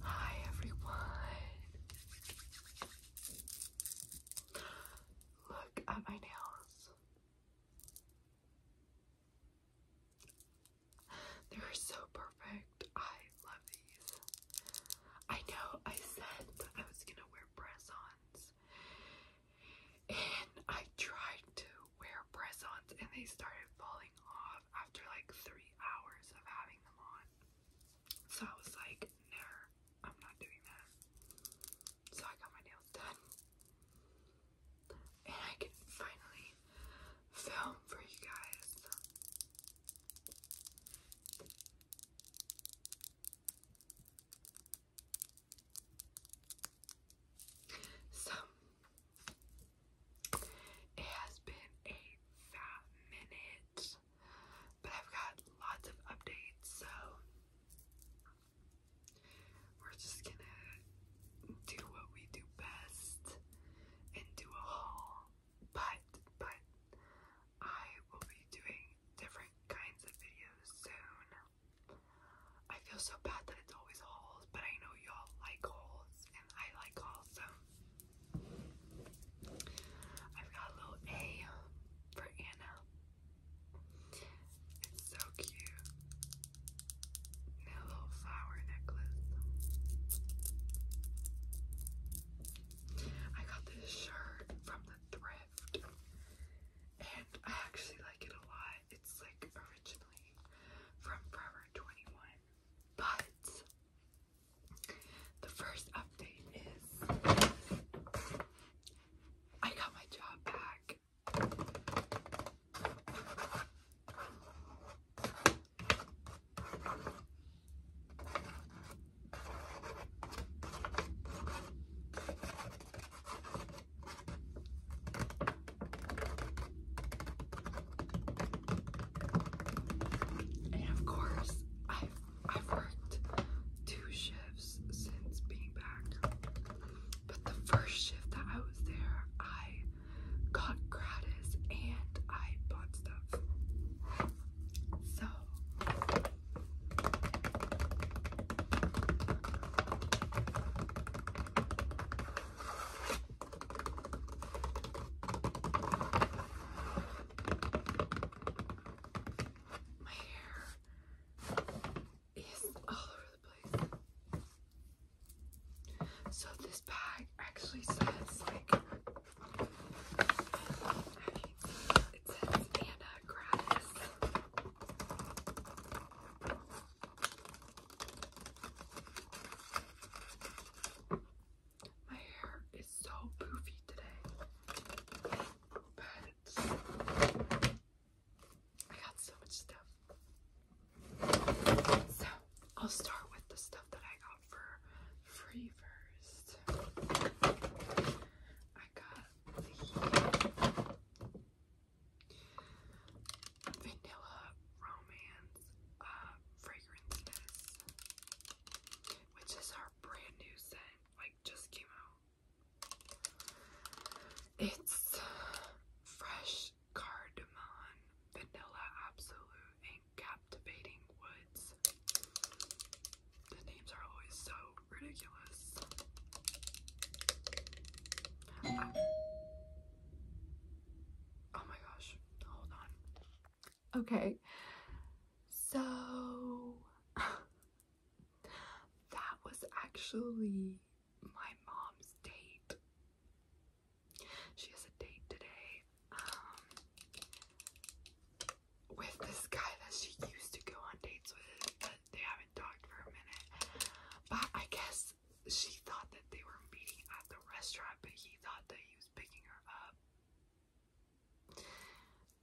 Hi everyone. Look at my nails. They're so perfect. I love these. I know I said I was gonna wear press-ons and I tried to wear press-ons and they started falling off after like three hours of having them on. So I was like, no, I'm not doing that. So I got my nails done. And I can finally film for you guys. So it has been a fat minute, but I've got lots of updates, so we're just gonna do what we do best and do a haul. But, but, I will be doing different kinds of videos soon. I feel so bad that it's always hauls, but I know y'all like hauls, and I like hauls, so I've got a little A for Anna. It's so cute. a little flower necklace. I got this shirt from the thrift. And I actually like it a lot. It's like originally from Forever 21. But the first update is I got my job back. And of course, I've worked two shifts since being back. But the first shift that I was there, I got gratis and I bought stuff. So my hair is all over the place. So this bag actually says like it says Anna gratis. My hair is so poofy today. I got so much stuff. So I'll start with the stuff that I got for free first. I got the Vanilla Romance uh, Fragrance which is our brand new scent, like just came out. It's fresh cardamom, vanilla absolute, and captivating woods. The names are always so ridiculous. Ah. oh my gosh, hold on. Okay, so that was actually my mom's date. She has a date today um, with this guy that she used to go on dates with, but they haven't talked for a minute. But I guess she thought that they were meeting at the restaurant, but he thought that he was picking her up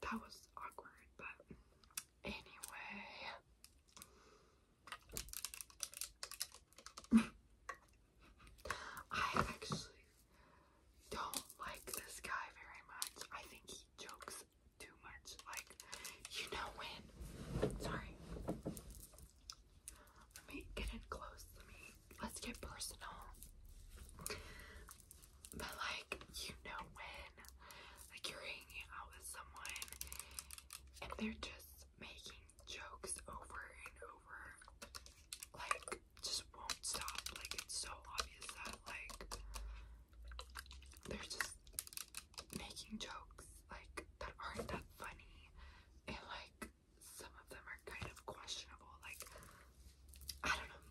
that was awkward, but anyway. I actually don't like this guy very much. I think he jokes too much. Like, you know when. Sorry. Let me get in close to me let's get personal. But like you know when like you're hanging out with someone and they're just making jokes over and over like just won't stop. Like it's so obvious that like they're just making jokes like that aren't that funny and like some of them are kind of questionable. Like, I don't know.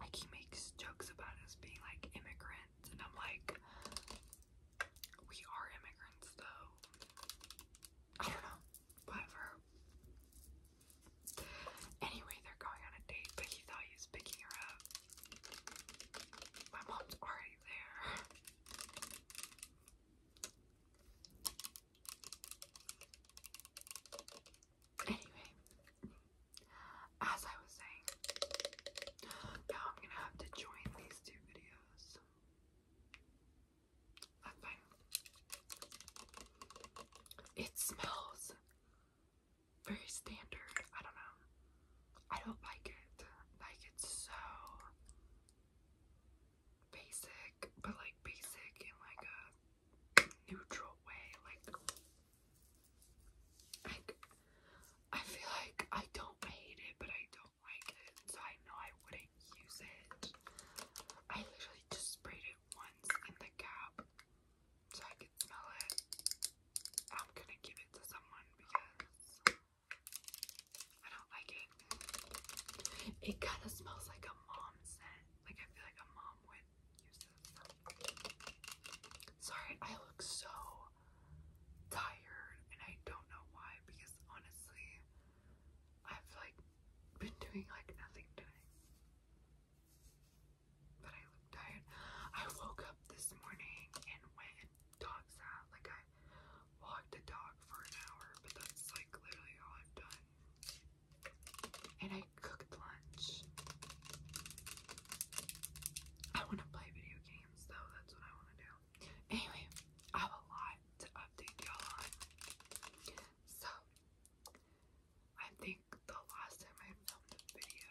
Like, he makes jokes about us being like immigrants, and I'm like, we are immigrants, though. I don't know. Whatever. Anyway, they're going on a date, but he thought he was picking her up. My mom's already there. Anyway, as I was saying, now I'm gonna have to join these two videos. That's fine. It smells very standard. I don't know. I don't like it. Like it's so basic, but like basic in like a neutral way. Like, like I feel like I don't hate it, but I don't like it, so I know I wouldn't use it. I literally just sprayed it once in the cap so I could smell it. I'm gonna give it to someone because I don't like it. It kind of smells like a mom scent. Like I feel like a mom Sorry, I look so tired and I don't know why because honestly, I've like been doing like nothing today. But I look tired. I woke up this morning and went dog sat. Like I walked the dog for an hour, but that's like literally all I've done and I cooked lunch. I want to play video games though, that's what I want to do. Anyway, I have a lot to update y'all on. So, I think the last time I filmed a video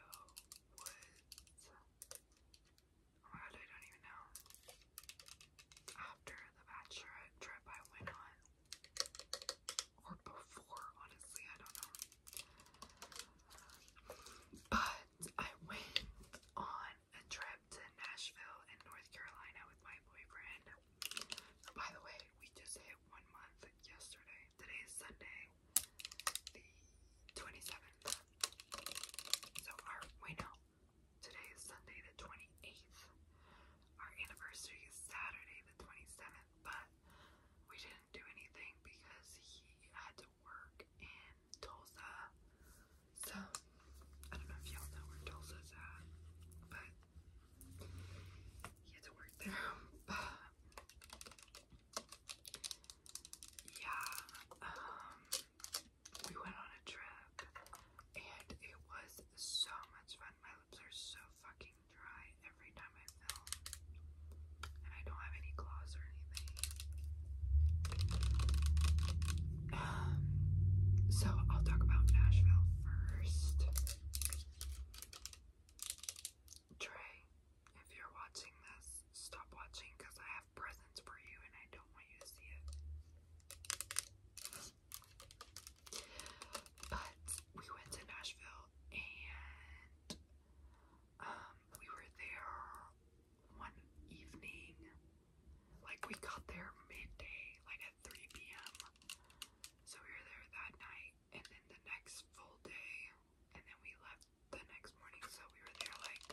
was. Oh my god, I don't even know. After the bachelorette trip I went on, or before, honestly, I don't know. But I went on a trip to Nashville in North Carolina with my boyfriend. by the way, we just hit one month yesterday. Today is Sunday, the 27th. So, our, wait, Today is Sunday the 28th. Our anniversary is Saturday the 27th, but we didn't do anything because he had to work in Tulsa. So, I don't know if y'all know where Tulsa's at, but he had to work there. But, yeah, um, we went on a trip and it was so much fun. My lips are so fucking dry every time I film. And I don't have any gloss or anything. Um, so I'll talk about Nashville first. Trey, if you're watching this, stop watching because I have presents for you and I don't want you to see it. But we went to Nashville and um, we were there one evening. Like, we got there midday, like at 3 p.m. So we were there that night and then the next full day, and then we left the next morning. So we were there like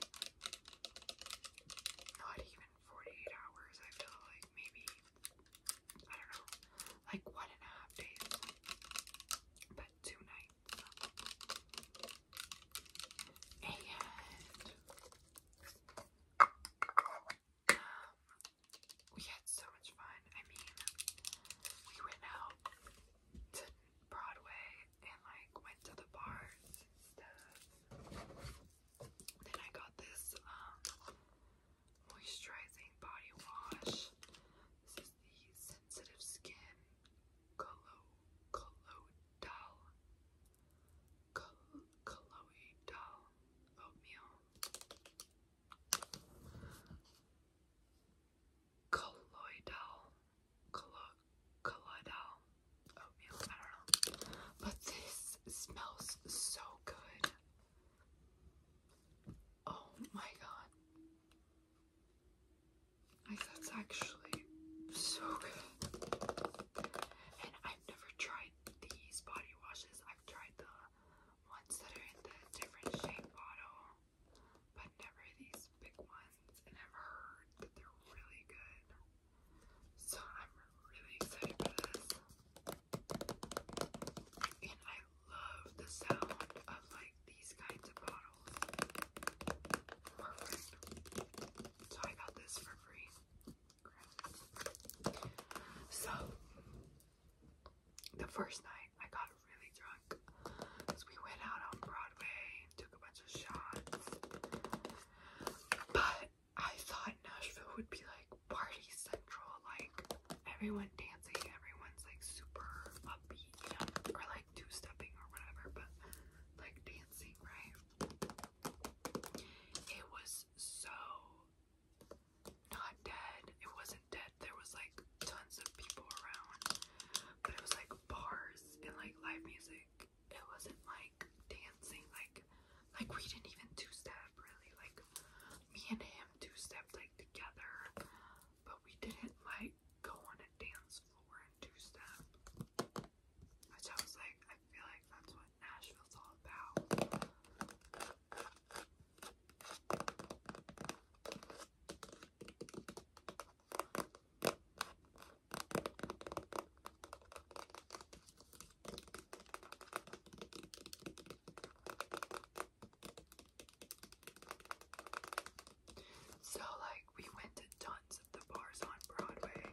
not even 48 hours, I feel like maybe I don't know, like one and a half days, but two nights. And we had so much fun. I mean, we went out to Broadway and like went to the bars Then I got this um, moisturizing body wash. This is the sensitive skin Colo Coloidal oatmeal. Colloidal, collo, colloidal oatmeal, I don't know. But this smells so good. Oh my god. Like, that's actually so good. And I've never tried these body washes. I've tried the ones that are in the different shape bottle, but never these big ones. And I've heard that they're really good. So I'm really excited for this. And I love the sound of like these kinds of bottles. Perfect. So I got this for free. So the first night I got really drunk we went out on Broadway and took a bunch of shots. But I thought Nashville would be like party central, like everyone dancing, everyone's like super upbeat, you know, or like two stepping or whatever, but like dancing, right? It was so not dead. It wasn't dead. There was like tons of people around, but it was like bars and like live music. It wasn't like dancing, like like we didn't even two step really. Like me and him two stepped like together, but we didn't like go on a dance floor and do stuff. Which I was like, I feel like that's what Nashville's all about. So, like, we went to tons of the bars on Broadway,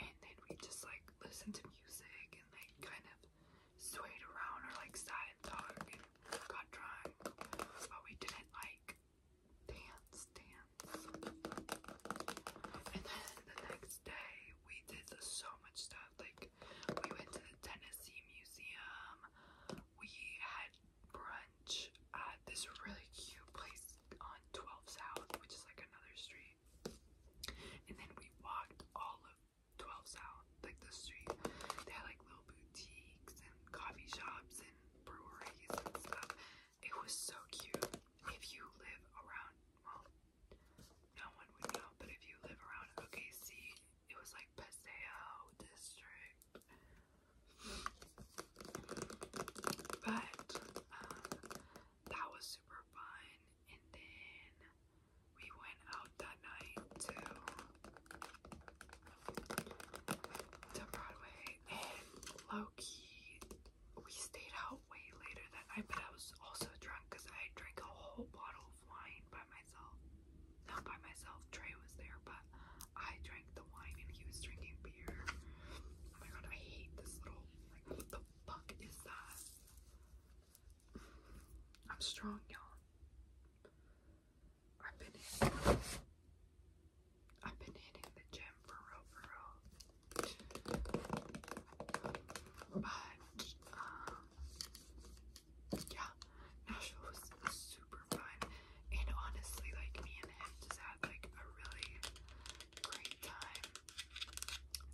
and then we just like listened to music and like kind of swayed around or like sat and talked and got drunk, but we didn't like dance, dance. And then the next day, we did so much stuff like we went to the Tennessee Museum. We had brunch at this really cute place on 12 South, which is like another street. And then we walked all of 12 South, like the street. They had like little boutiques and coffee shops and breweries and stuff. It was so cute. If you live around, well, no one would know, but if you live around OKC it was like Paseo district. But um, that was super fun. And then we went out that night to to Broadway and low-key we stayed out way later that night but I was also drunk because I drank a whole bottle wine by myself. Not by myself, Trey was there, but I drank the wine and he was drinking beer. Oh my god, I hate this little, like, what the fuck is that? I'm strong, y'all. I've been hitting, I've been hitting the gym for real, for real. But, um, yeah, Nashville was super fun. And honestly, like me and him just had like a really great time.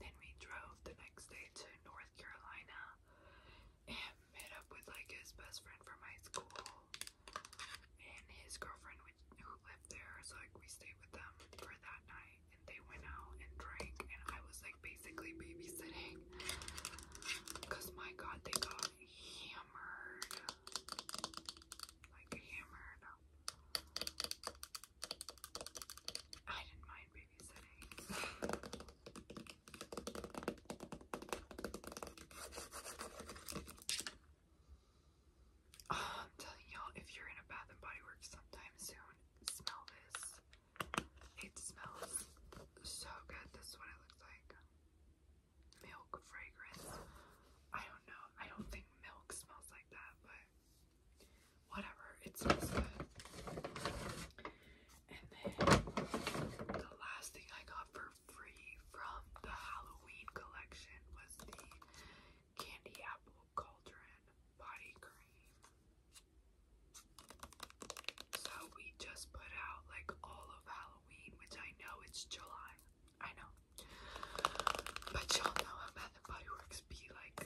Then we drove the next day to North Carolina and met up with like his best friend from high school and his girlfriend which, who lived there. So like we stayed with them for that night and they went out and drank and I was like basically babysitting. Because my god, they got hammered. Like hammered. I didn't mind babysitting. I'm telling y'all, if you're in a Bath and Body Works sometime soon, smell this. It smells so good. This is what it looks like. Milk fragrance. I don't know. I don't think milk smells like that, but whatever. It smells good. And then the last thing I got for free from the Halloween collection was the Candy Apple Cauldron Body Cream. So we just put out like all of Halloween, which I know it's July. I know. But y'all know how Bath and Body Works be like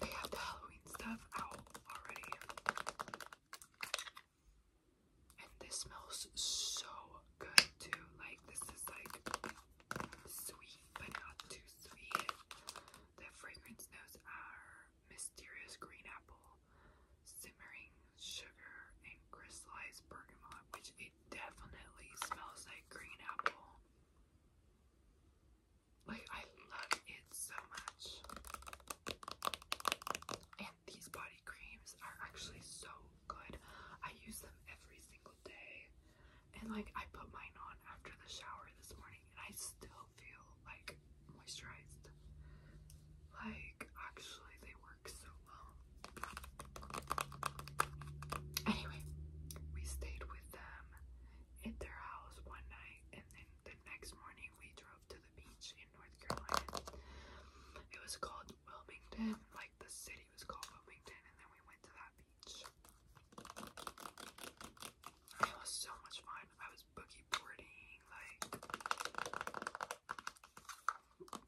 they have the Halloween stuff out already. And this smells so good too. Like this is like sweet but not too sweet. The fragrance knows our mysterious green apple, simmering sugar, and crystallized bergamot, which it definitely smells like green apple. Like, I love it so much. And these body creams are actually so good. I use them every single day. And, like, I put mine on after the shower this morning, and I still feel like moisturized. Like, actually, they work so well. Anyway, we stayed with them at their house one night, and then the next morning we drove to the beach in North Carolina. It was called Wilmington, like the city was called Wilmington, and then we went to that beach. It was so much fun. I was boogie boarding, like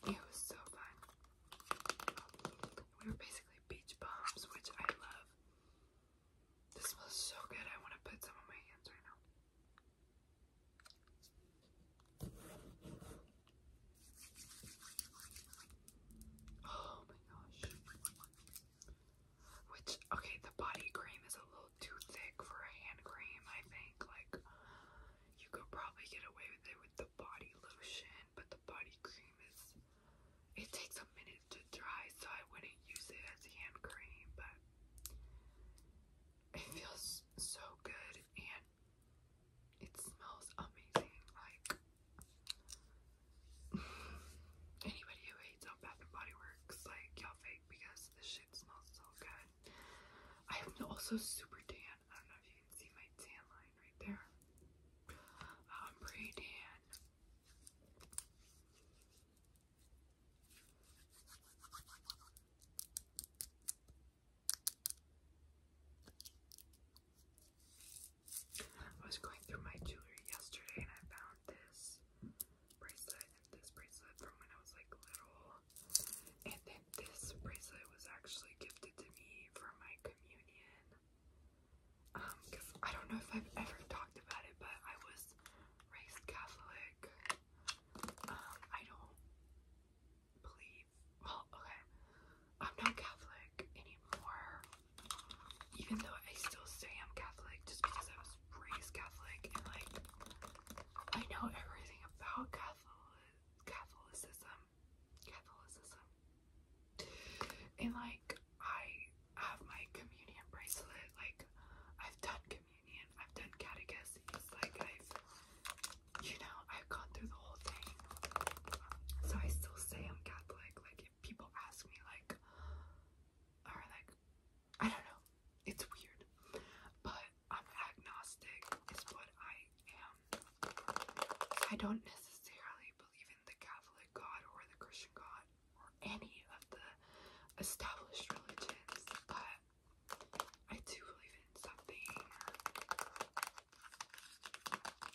it was so fun. We were basically beach bombs, which I love. This smells so good. I want to put some on my hands right now. Oh my gosh. Which okay, the body cream is a little too thick for a hand cream, I think. Like, you could probably get away with it with the body lotion, but the body cream is, it takes a minute to dry, so I wouldn't use it as hand cream, but it feels so good and it smells amazing. Like, Anybody who hates on Bath and Body Works, like y'all fake because this shit smells so good. I am also super tan. I don't know if you can see my tan line right there. I'm pretty tan. I was going through my jewelry yesterday and I found this bracelet and this bracelet from when I was like little. And then this bracelet was actually gifted to me for my communion. Um, because I don't know if I've ever talked about it, but I was raised Catholic. Um, I don't believe. Well, okay. I'm not Catholic anymore. Even though I still say I'm Catholic just because I was raised Catholic and like I know everything about Catholic Catholicism. Catholicism. And like I have my communion bracelet, like I've done communion, I've done catechism. like I've you know, I've gone through the whole thing. So I still say I'm Catholic. Like if people ask me like or like I don't know. It's weird. But I'm agnostic is what I am. I don't necessarily believe in the Catholic God or the Christian God or any of the established religions, but I do believe in something.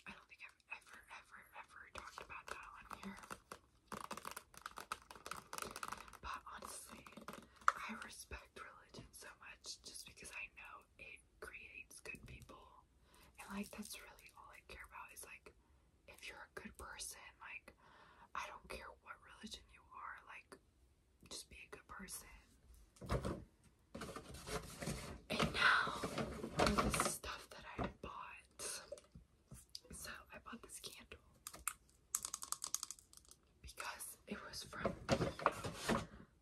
I don't think I've ever, ever, ever talked about that on here. But honestly, I respect religion so much just because I know it creates good people. And like that's really all I care about is like if you're a good person, like I don't care what religion you are, like just be a good person. And now the stuff that I bought. So I bought this candle because it was from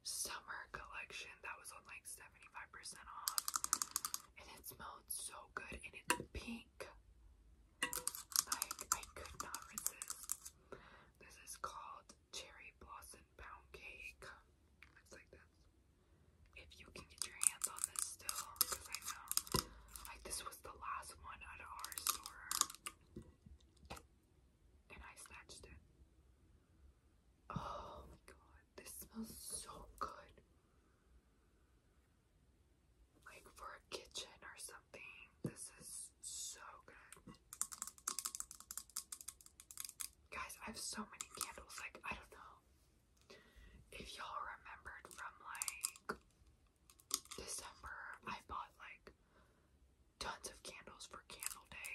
summer collection that was on like 75% off. And it smelled so good and it's pink. Like I could not resist. This is called Cherry Blossom Pound Cake. Looks like this. If you can get your hands on this still, because I know like this was the last one at our store and I snatched it. Oh my god, this smells so good. Like for a kitchen or something. This is so good. Guys, I have so many candles. Like, I don't know if y'all remembered from like December, I bought like tons of candles for Candle Day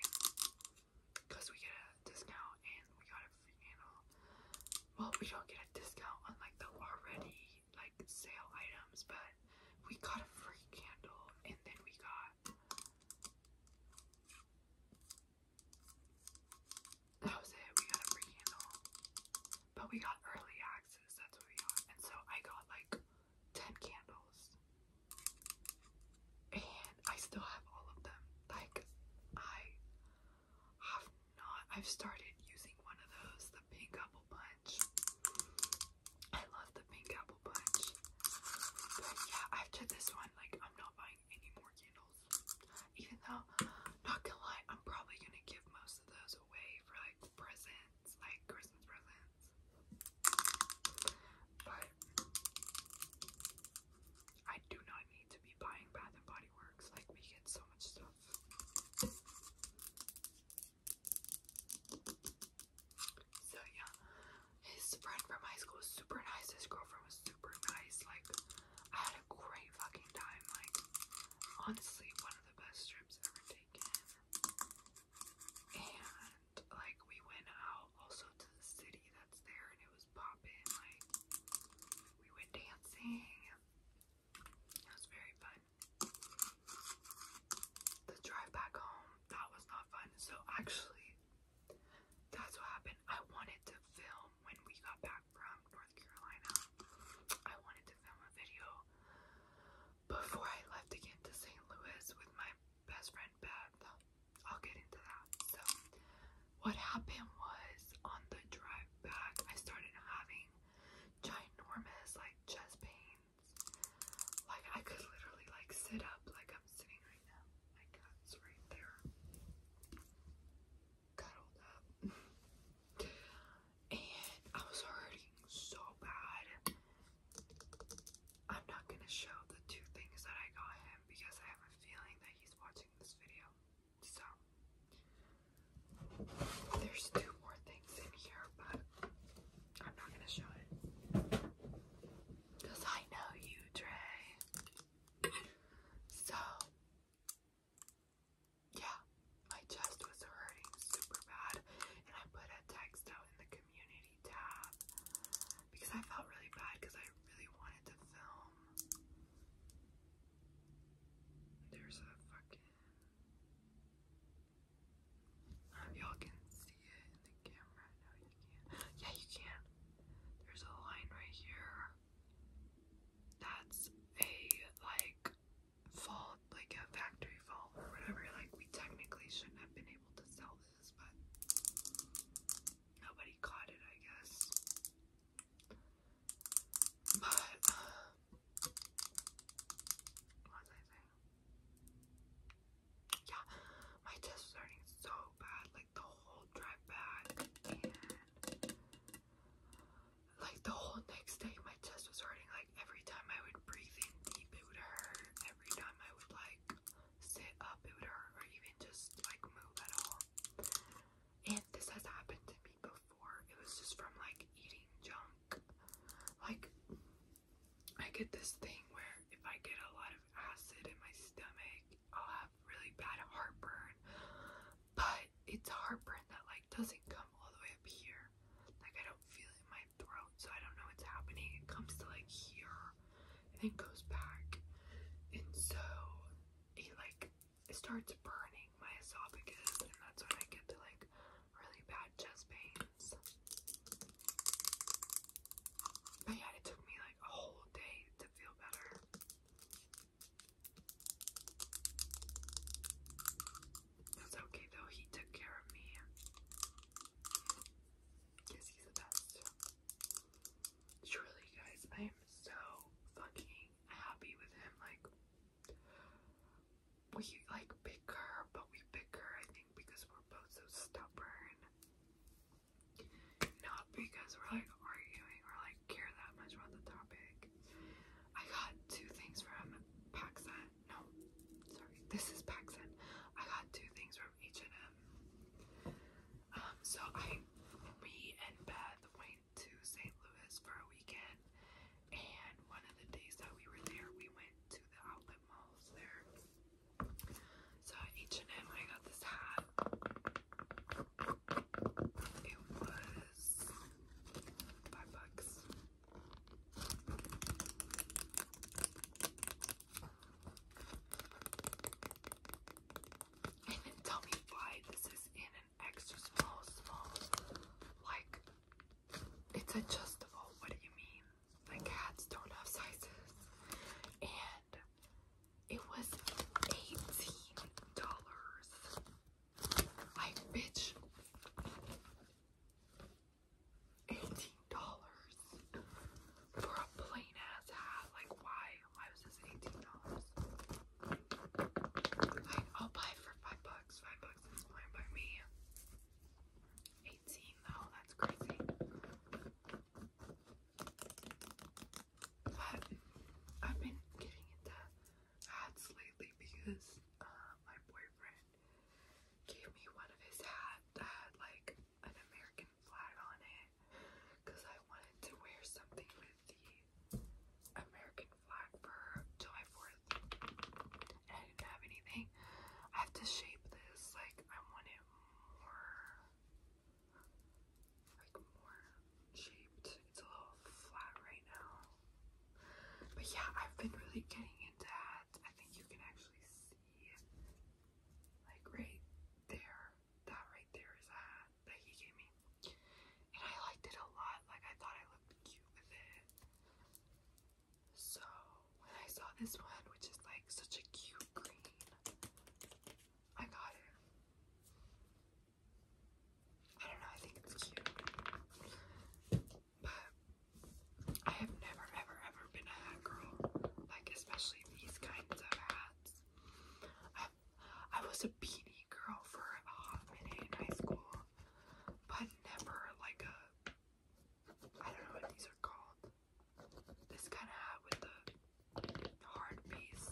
because we get a discount and we got a free candle. Well, we don't get a discount on like the already like sale items, but we got a free candle and then we got. That was it. We got a free candle, but we got early access. That's what we got, and so I got like 10 candles. And I still have all of them. Like, I have not, I've started using one of those, the pink apple punch. I love the pink apple punch. But yeah, after this one, like, I'm not buying any more candles. Even though, not gonna lie, I'm probably gonna give most of those away for like the present like Christmas presents. But I do not need to be buying Bath and Body Works. Like we get so much stuff. So yeah, his friend from high school was super nice. His girlfriend was super nice. Like I had a great fucking time. Like honestly, one of the best trips ever taken. And like we went out also to the city that's there and it was popping. Like we went dancing. It was very fun. The drive back home, that was not fun. So actually that's what happened. I wanted to film when we got back from North Carolina. I wanted to film a video before I left again to St. Louis with my best friend Beth. I'll get into that. So, what happened was on the drive back, I started having ginormous like chest pains. Like I could literally like sit up like I'm sitting right now. My cat's right there, cuddled up, and I was hurting so bad. I'm not gonna show the two things that I got him because I have a feeling that he's watching this video. So there's two more things in here, but I'm not gonna show it. Because I know you, Dre. So yeah, my chest was hurting super bad, and I put a text out in the community tab because I felt really bad because I really wanted to film. There's a fucking. Um, y'all can see it in the camera. No, you can't. Yeah, you can. There's a line right here. That's a like fall like a factory fault or whatever. Like we technically shouldn't have been able to sell this, but nobody caught it, I guess. But uh, what was I saying? Yeah, my test was hurting so bad, like the whole drive back and like the whole next day my chest was hurting like every time I would breathe in deep it would hurt every time I would like sit up, it or even just like move at all. And this has happened to me before. It was just from like eating junk. Like, I get this thing where if I get a lot of acid in my stomach, I'll have really bad heartburn. But it's heartburn that like doesn't come all the way up here. Like I don't feel my throat, so I don't know what's happening. It comes to like here and then goes back. And so it like it starts burning my esophagus, and that's when I get to like really bad chest pains. But yeah, it took me like a whole day to feel better. That's okay though, he took care of me. Yes, he's the best. Truly, guys, I am so fucking happy with him. Like, we like bicker, but we bicker, I think, because we're both so stubborn. Not because we're like arguing or like care that much about the topic. I got two things from Paxson no, sorry, this is Paxton. I got two things from H&M. so I, me and Beth went to St. Louis for a weekend, and one of the days that we were there, we went to the outlet malls there. So at H&M, I got this hat. It was five bucks tell me why this is in an extra small, small. Like, it's adjustable. What do you mean? Like, hats don't have sizes. And it was $18. Like, bitch. $18 for a plain ass hat. Like, why? Why was this $18? I'll buy for five bucks. Five bucks is fine by me. 18 though, that's crazy. But I've been getting into hats lately because uh, my boyfriend gave me one of his hats that had like an American flag on it because I wanted to wear something with the American flag for July 4th and I didn't have anything. I have to shape this like I want it more like more shaped. It's a little flat right now. But yeah, I've been really getting into I think you can actually see, like right there, that right there is a that he gave me. And I liked it a lot, like I thought I looked cute with it. So when I saw this one, which is like such a cute green, I got it. I don't know, I think it's cute. But I have never, ever, ever been a hat girl. Like, especially these kinds of hats. I, was a beanie girl for a hot minute in high school, but never like a. I don't know what these are called. This kind of hat with the hard base.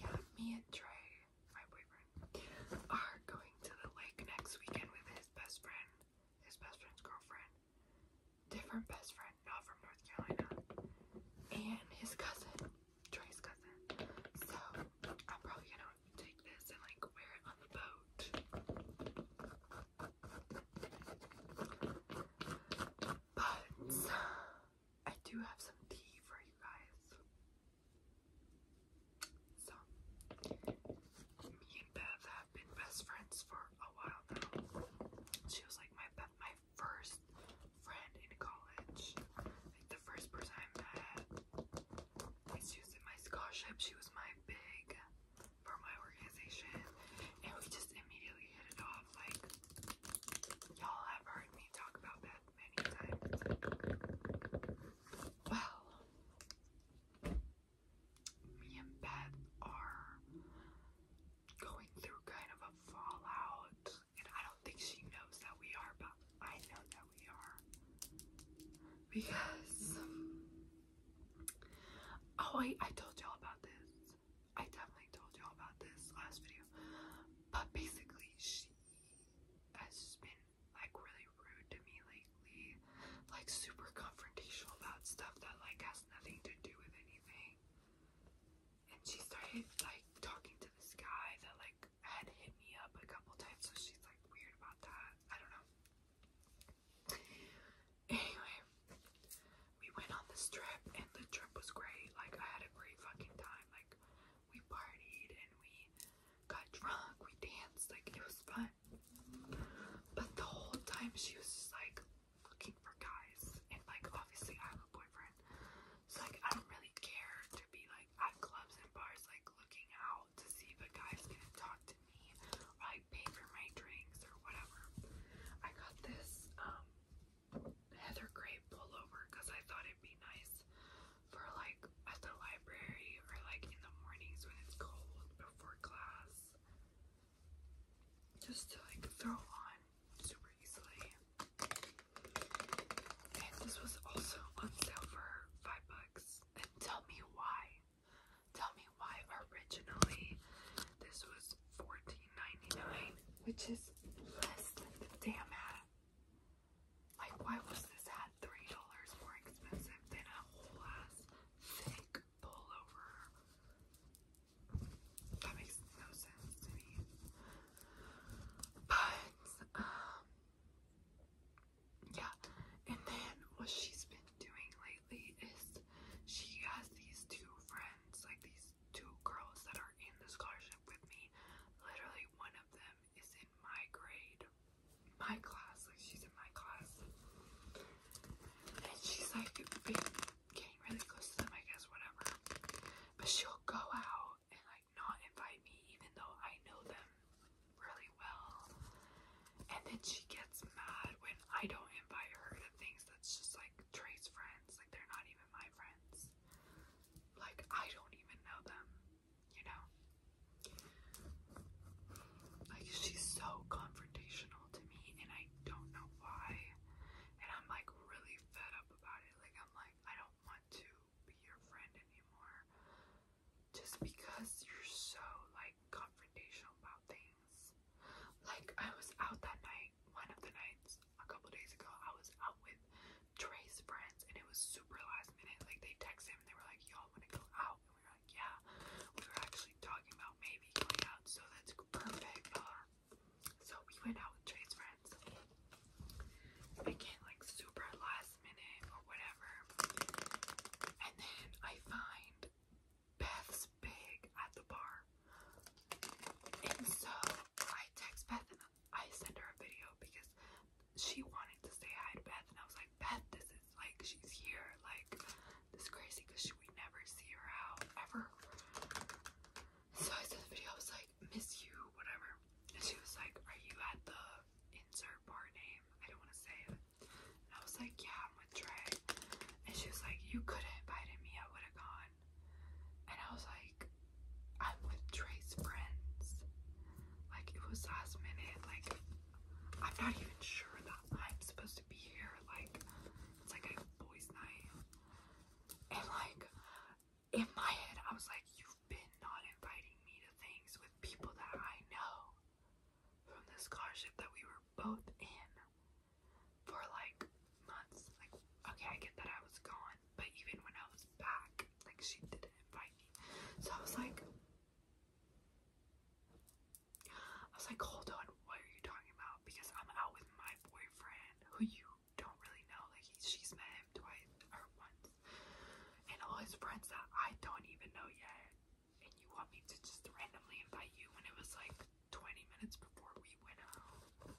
yeah, me and Trey my boyfriend, are going to the lake next weekend with his best friend, his best friend's girlfriend, different best friend, not from North Carolina, and his cousin, Trey's cousin. So I'm probably gonna take this and like wear it on the boat. But I do have some tea for you guys. So, me and Beth have been best friends for a while now. She was like my my first friend in college. Like the first person I met, she was in my scholarship. She was my big for my organization, and we just immediately hit it off. Like y'all have heard me talk about Beth many times. Well, me and Beth are going through kind of a fallout, and I don't think she knows that we are, but I know that we are. Because, oh, I, I told y'all about this. I definitely told y'all about this last video. But basically, she has been like really rude to me lately, like super confrontational about stuff that like has nothing to do with anything. And she started like talking to this guy that like had hit me up a couple times, so she's like weird about that. I don't know. Anyway, we went on this trip and the trip was great. Like I had a great fucking time. Like we partied and we got drunk, we danced, like it was fun. But the whole time she was just like looking for guys, and like obviously I have a boyfriend, so like I don't really care to be like at clubs and bars, like looking out to see if a guy's gonna talk to me I like pay for my drinks or whatever. I got this um heather gray pullover because I thought it'd be nice for like at the library or like in the mornings when it's cold before class. Just to like throw on super easily. And this was also on sale for five bucks. tell me why. Tell me why originally this was fourteen ninety nine, which is less than the damn hat. Like, why was this hat $3 more expensive than a whole ass thick pullover? That makes no sense to me. But, um, yeah. And then what she's been doing lately is she has these two friends, like these two girls that are in the scholarship with me. Literally, one of them is in my grade, my class, like she's in my class. And she's like getting really close to them, I guess, whatever. But she'll go out and like not invite me even though I know them really well. And then she gets mad when I don't invite her to things that's just like Trey's friends. Like they're not even my friends. Like I don't even know them you know? Like, she's so confrontational to me, and I don't know why. And I'm like really fed up about it. Like, I'm like, I don't want to be your friend anymore. Just because you're so like confrontational about things. Like, I was out that night, one of the nights a couple days ago, I was out with Trey's friends, and it was super last minute. Like, they texted him and they were like, Yo, you want to go out? And we were like, yeah, we were actually talking about maybe going out, so that's perfect. Um, so we went out with Trey's friends. It like super last minute or whatever. And then I find Beth's bag at the bar. And so I text Beth and I send her a video because she wanted to say hi to Beth, and I was like, Beth, this is like she's here, like this is crazy because she would never see her out ever. So I said the video, I was like, miss you, whatever. And she was like, Are you at the insert bar name? I don't want to say it. I was like, Yeah, I'm with Trey. And she was like, You could have invited me, I would have gone. And I was like, I'm with Trey's friends. Like it was last minute. Like I'm not even sure that I'm supposed to be here. Like it's like a boys' night. And like in my head I was like, you've been not inviting me to things with people that I know from the scholarship that we were both in for like months. Like okay, I get that I was gone, but even when I was back, like she didn't invite me. So I was like, I was like, hold on, why are you talking about? Because I'm out with my boyfriend, who you don't really know. Like, he, she's met him twice or once, and all his friends that I don't even know yet. And you want me to just randomly invite you when it was like 20 minutes before we went out?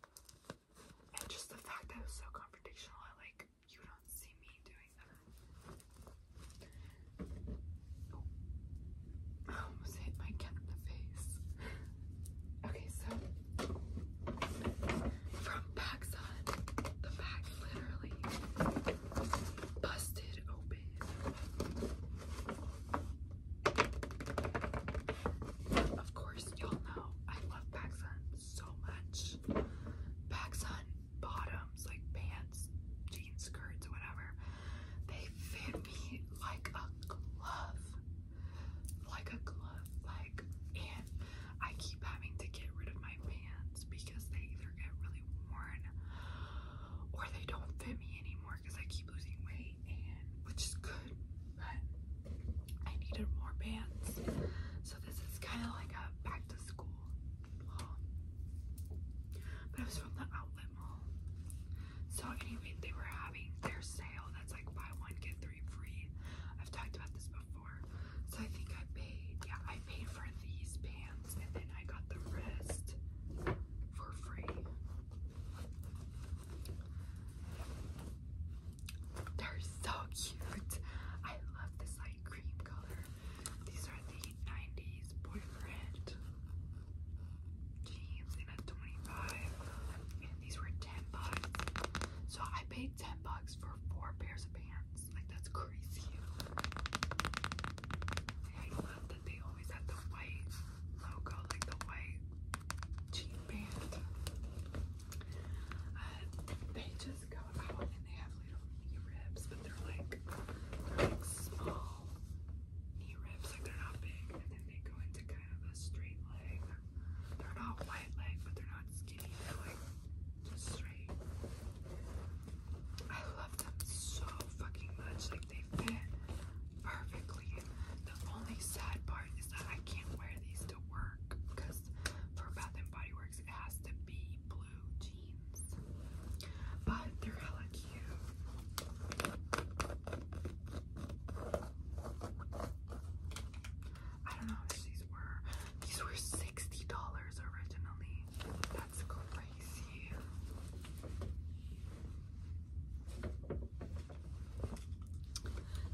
And just the fact that it was so confrontational, I like you don't see me doing that. I almost hit my cat in the face. Okay, so from Paxson, the bag literally busted open. Of course, y'all know I love Paxson so much much on bottoms, like pants, jean skirts, whatever. They fit me like a glove. Like a glove. Like, and I keep having to get rid of my pants because they either get really worn or they don't fit me anymore because I keep losing weight, and which is good, but I needed more pants. So, this is kind of like a back to school mall. But it was from the outlet mall. So anyway, they were having their sale that's like buy one, get three free. I've talked about this before. So I think I paid, yeah, I paid for these pants and then I got the rest for free. They're so cute. I love this light cream color. These are the 1990s boyfriend. Jeans and a 25. And these were 10 bucks. So I paid 10 bucks for four pairs of pants. Like that's crazy. I love that they always had the white logo, like the white jean band. Uh, they just just got out and they have little knee ribs, but they're like, they're like small knee ribs, like they're not big. And then they go into kind of a straight leg. They're not white leg, but they're not skinny. like just straight. I love them so fucking much. Like they fit perfectly. The only sad part is that I can't wear these to work because for Bath and Body Works it has to be blue but they're hella cute. I don't know how much these were. These were sixty dollars originally. That's crazy.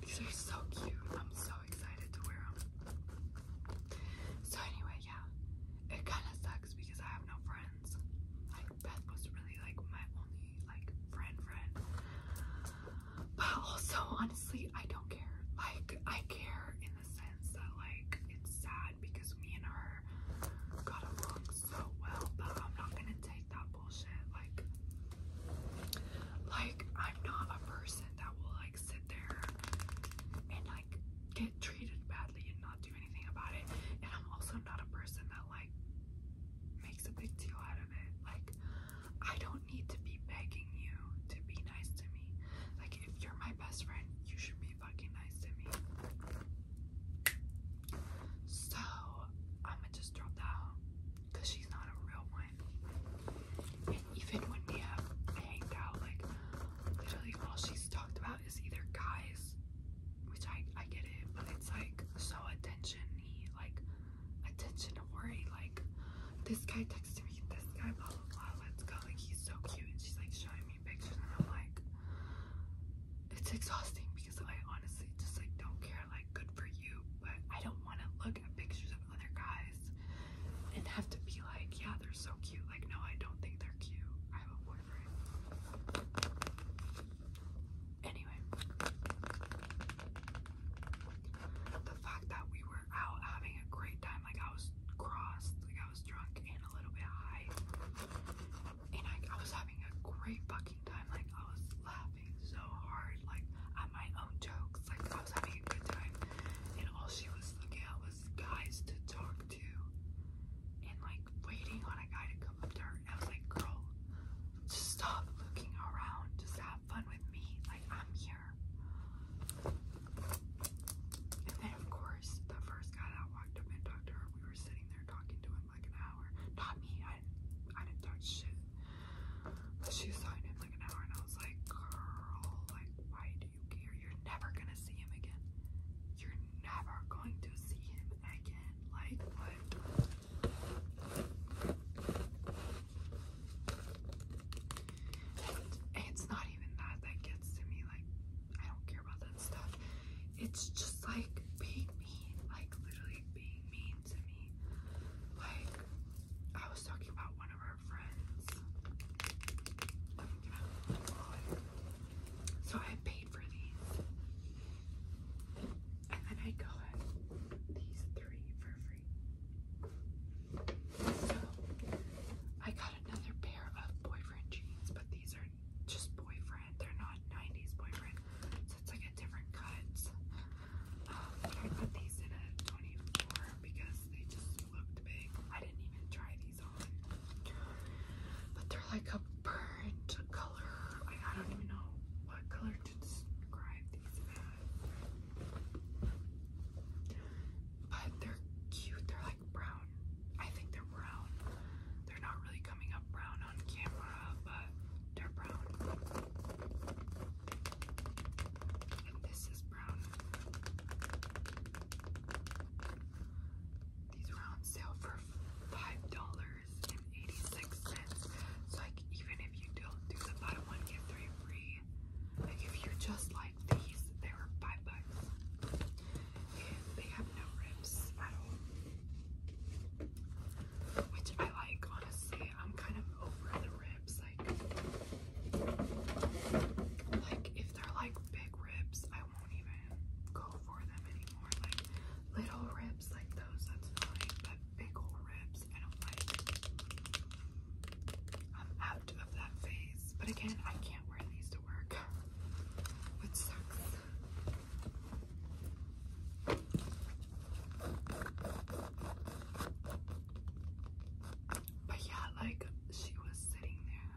These are so cute. I'm so excited to wear them. So anyway, yeah, it kind of sucks because I have no friends. Like Beth was really like my only like friend friend. But also honestly, I don't care. Like I care in the sense that like it's sad because me and her got along so well, but I'm not gonna take that bullshit. Like like I'm not a person that will like sit there and get treated badly and not do anything about it. And I'm also not a person that like makes a big deal out of it. Like I don't need to be begging you to be nice to me. Like if you're my best friend, you should be fucking nice to me. So I'ma just drop that out because she's not a real one. And even when we have hanged out, like literally all she's talked about out either guys, which I I get it, but it's like so attention like attention to like this guy texts me, this guy blah blah blah, let's go like he's so cute and she's like showing me pictures and I'm like it's exhausting because I honestly just like don't care like good for you, but I don't want to look at pictures of other guys and have to be like yeah they're so cute. Like, no, I don't think they're cute. I have a boyfriend. Anyway, the fact that we were out having a great time, like I was crossed, like I was drunk and a little bit high, and I, I was having a great fucking time. Like I was laughing so hard, like at my own jokes. Like I was having a good time, and all she was looking at guys to talk to and like waiting on a guy to come up to her. And I was like, girl, just stop looking around. Just have fun with me. Like, I'm here. And then, of course, the first guy that walked up and talked to her, we were sitting there talking to him like an hour. Not me. I didn't, I didn't talk shit. But she was talking to him like an hour, and I was like, girl, like, why do you care? You're never gonna see him again you're never going to see him again. Like, it's not even that that gets to me. Like, I don't care about that stuff. It's just like being mean, like literally being mean to me. Like, I was talking about one of our friends. So I paid for these. And then I got these three for free. So I got another pair of boyfriend jeans, but these are just boyfriend. They're not 90s boyfriend. So it's like a different cut. Um, I got these in a 24 because they just looked big. I didn't even try but they're like a burnt color. I, don't even know what color to describe these But they're cute. They're like brown. I think they're brown. They're not really coming up brown on camera, but they're brown. And this is brown these are on sale for five dollars and eighty-six cents. So even if you don't do the bottom one, get three free. Like if you just like these, they were five bucks. And they have no rips at all. Which I like, honestly. I'm kind of over the ribs. like if they're like big ribs, I won't even go for them anymore. Like little ribs like those, that's fine, but big old ribs, I don't like. I'm out of that phase. But again, I can't wear these to work, which sucks. But yeah, like she was sitting there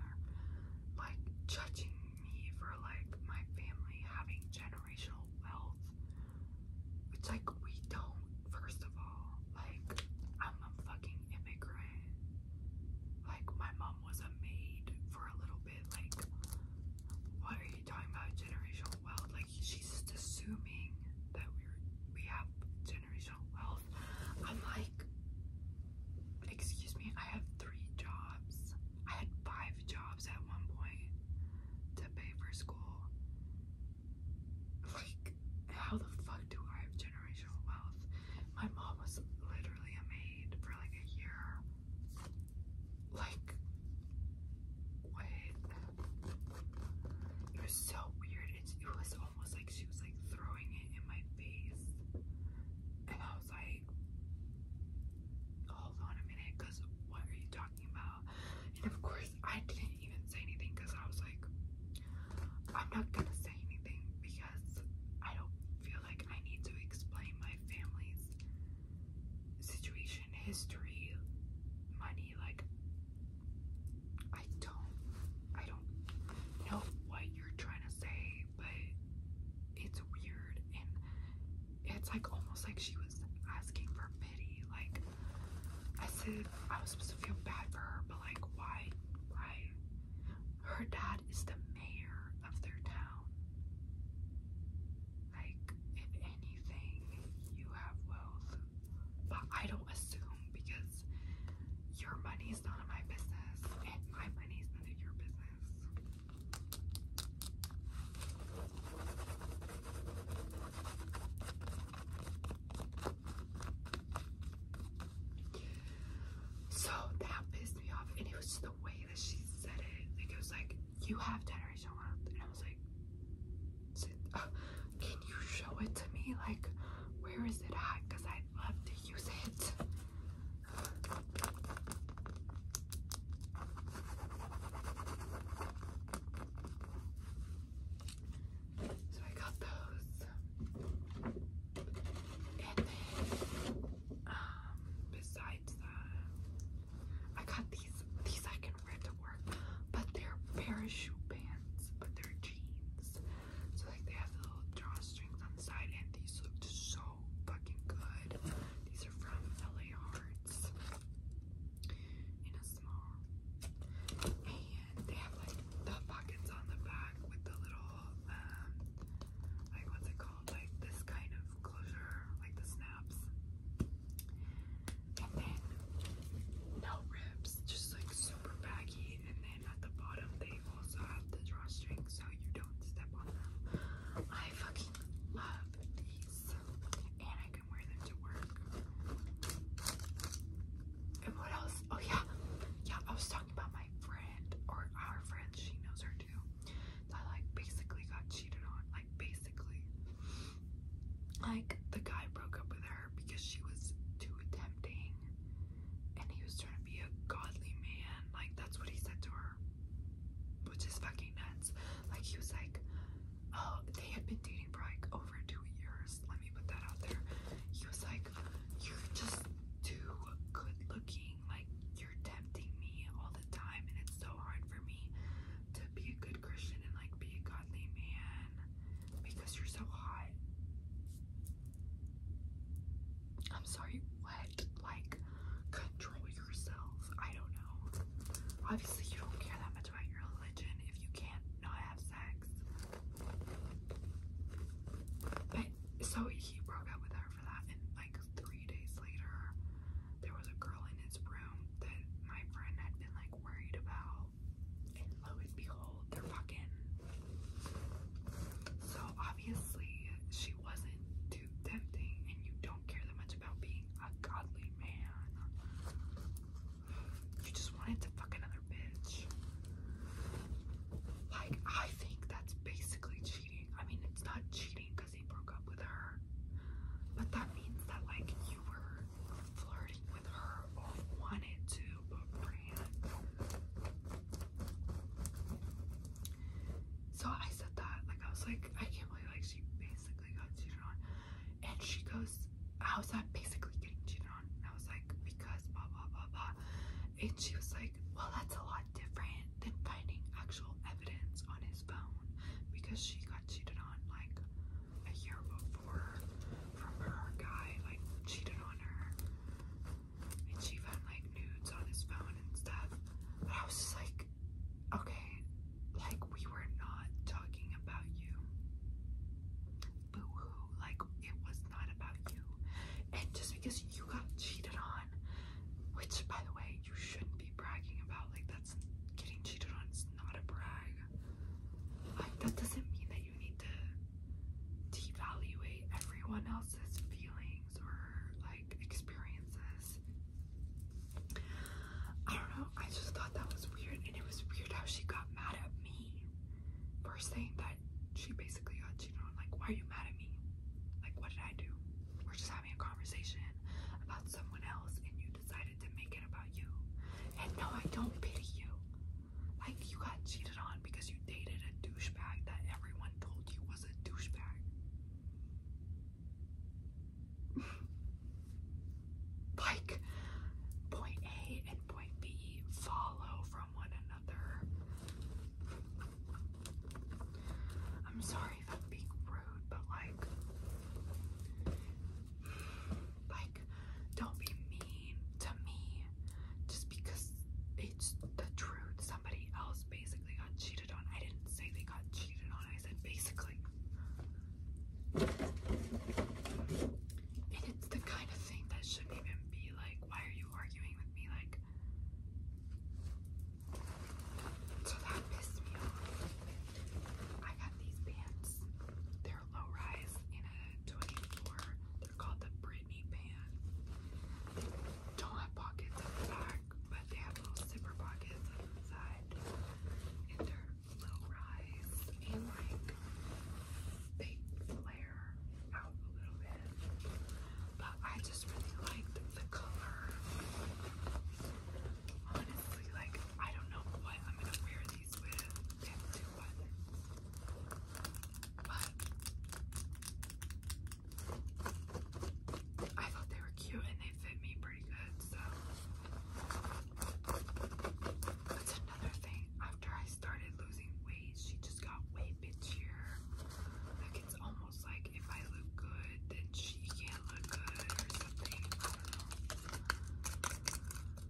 like judging me for like my family having generational wealth. It's like we don't, first of all. Like I'm a fucking immigrant. Like my mom was a maid for a little bit. Like what are you talking about generational wealth? Like she's just assuming that we are we have generational wealth. I'm like excuse me, I have three jobs. I had five jobs at one point to pay for school. Like, how the fuck do I have generational wealth? My mom was literally a maid for like a year. Like, wait. It was so weird. It, was almost like she was like throwing it in my face like, hold on a minute, because what are you talking about? And of course, I didn't even say anything because I was like, I'm not gonna say anything because I don't feel like I need to explain my family's situation, history, money. Like, I don't, I don't know what you're trying to say, but it's weird and it's like almost like she was asking for pity. Like I said, I was supposed to feel bad for her, but like why? Why? Her dad is the mayor of their town. Like if anything, you have wealth, but I don't assume because your money money's none of my business, my money's none of your business. So that pissed me off, and it was just the way that she said it. Like, it was like, You have generational wealth, and I was like, uh, Can you show it to me? Like, where is it at? Because I'd love to use it. So I got those. And then, um, besides that, I got these. These I can wear to work, but they're parachute pants, but they're jeans. So like they have little drawstrings and these looked so fucking good. These are from LA Hearts in a small, and they have like the pockets on the back with the little, um, like what's it called? Like this kind of closure, like the snaps, and then no rips, just like super baggy, and then at the bottom they muscles of the drawstrings so you don't step on them. I fucking love these, and I can wear them to work. And what else? Oh yeah, yeah. I was talking about my friend or our friend. She knows her too. That like basically got cheated on. Like basically, like the guy broke up with her because she was too tempting, and he was trying to be a godly man. Like that's what he said to her which is fucking nuts. Like he was like, oh, they had been dating for like over two years. Let me put that out there. He was like, you're just too good looking. Like you're tempting me all the time, and it's so hard for me to be a good Christian and like be a godly man because you're so hot. I'm sorry, what? Like, control yourself. I don't know. Obviously, you don't care that much about your religion if you can't not have sex. But so he broke up with her for that, and like three days later, there was a girl in his room that my friend had been like worried about. And lo and behold, they're fucking. So obviously, she wasn't too and you don't care that much about being a godly man. You just wanted to fuck another bitch. Like, I think that's basically cheating. I mean, it's not cheating because he broke up with her, but that means that, like, you were flirting with her or wanted to, but ran. So I said that, like I was like, I can't believe like she basically got cheated on. And she goes, How's that basically getting cheated on? And I was like, because blah blah blah blah. And she was like, Well that's a lot different than finding actual evidence on his phone because she got cheated on like a year before from her guy, like cheated on her and she found like nudes on his phone and stuff. But I was just like, okay, like we were not talking about you. Boo like it was not about you. And just because you got cheated on, which by the way, you shouldn't be bragging about, like that's getting cheated on is not a brag. Like that doesn't mean that you need to devalue everyone else's feelings or like like experiences. I don't know, I just thought that was weird, and it was weird how she got mad at me for saying that she basically got cheated on. Like, why are you mad at me? Like, what did I do? We're just having a conversation about someone else, and you decided to make it about you. And no, I don't pity you. Like, you got cheated on because you dated a douchebag that everyone told you was a douchebag like point A and point B follow from one another. I'm sorry if I'm being rude, but like, like, don't be mean to me just because it's the truth. Somebody else basically got cheated I didn't say they got cheated on. I said basically. And it's the kind of thing that shouldn't even be like, why are you arguing with me? Like, so that pissed me off. I got these pants. They're low rise in a 24. They're called the Britney pant. Don't have pockets at the back but they have little zipper pockets on the side, and they're low rise and like they flare out a little bit. But I just really liked the color. Honestly, like I don't know what I'm gonna wear these with. but I thought they were cute and they fit me pretty good, so that's another thing. After I started losing weight, she just got way bitchier. Like it's almost like if I look good, then she can't look good or something.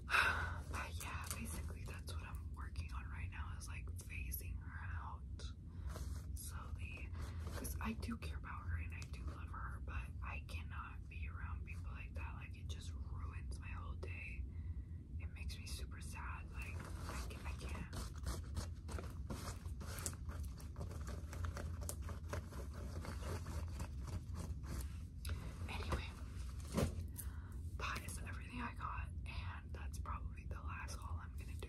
But yeah, basically that's what I'm working on right now is like phasing her out slowly because I do care about her and I do love her, but I cannot be around people like that. Like it just ruins my whole day. It makes me super sad. Like I, can, I can't. Anyway, that is everything I got, and that's probably the last haul I'm gonna do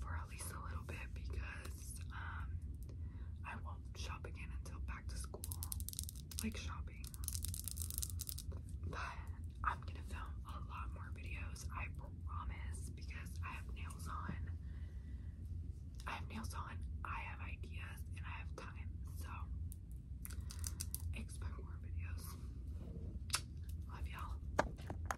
for at least a little bit because um, I won't shop again until back to school. Like shopping. But I'm gonna film a lot more videos, I promise, because I have nails on. I have nails on, I have ideas, and I have time. So expect more videos. Love y'all.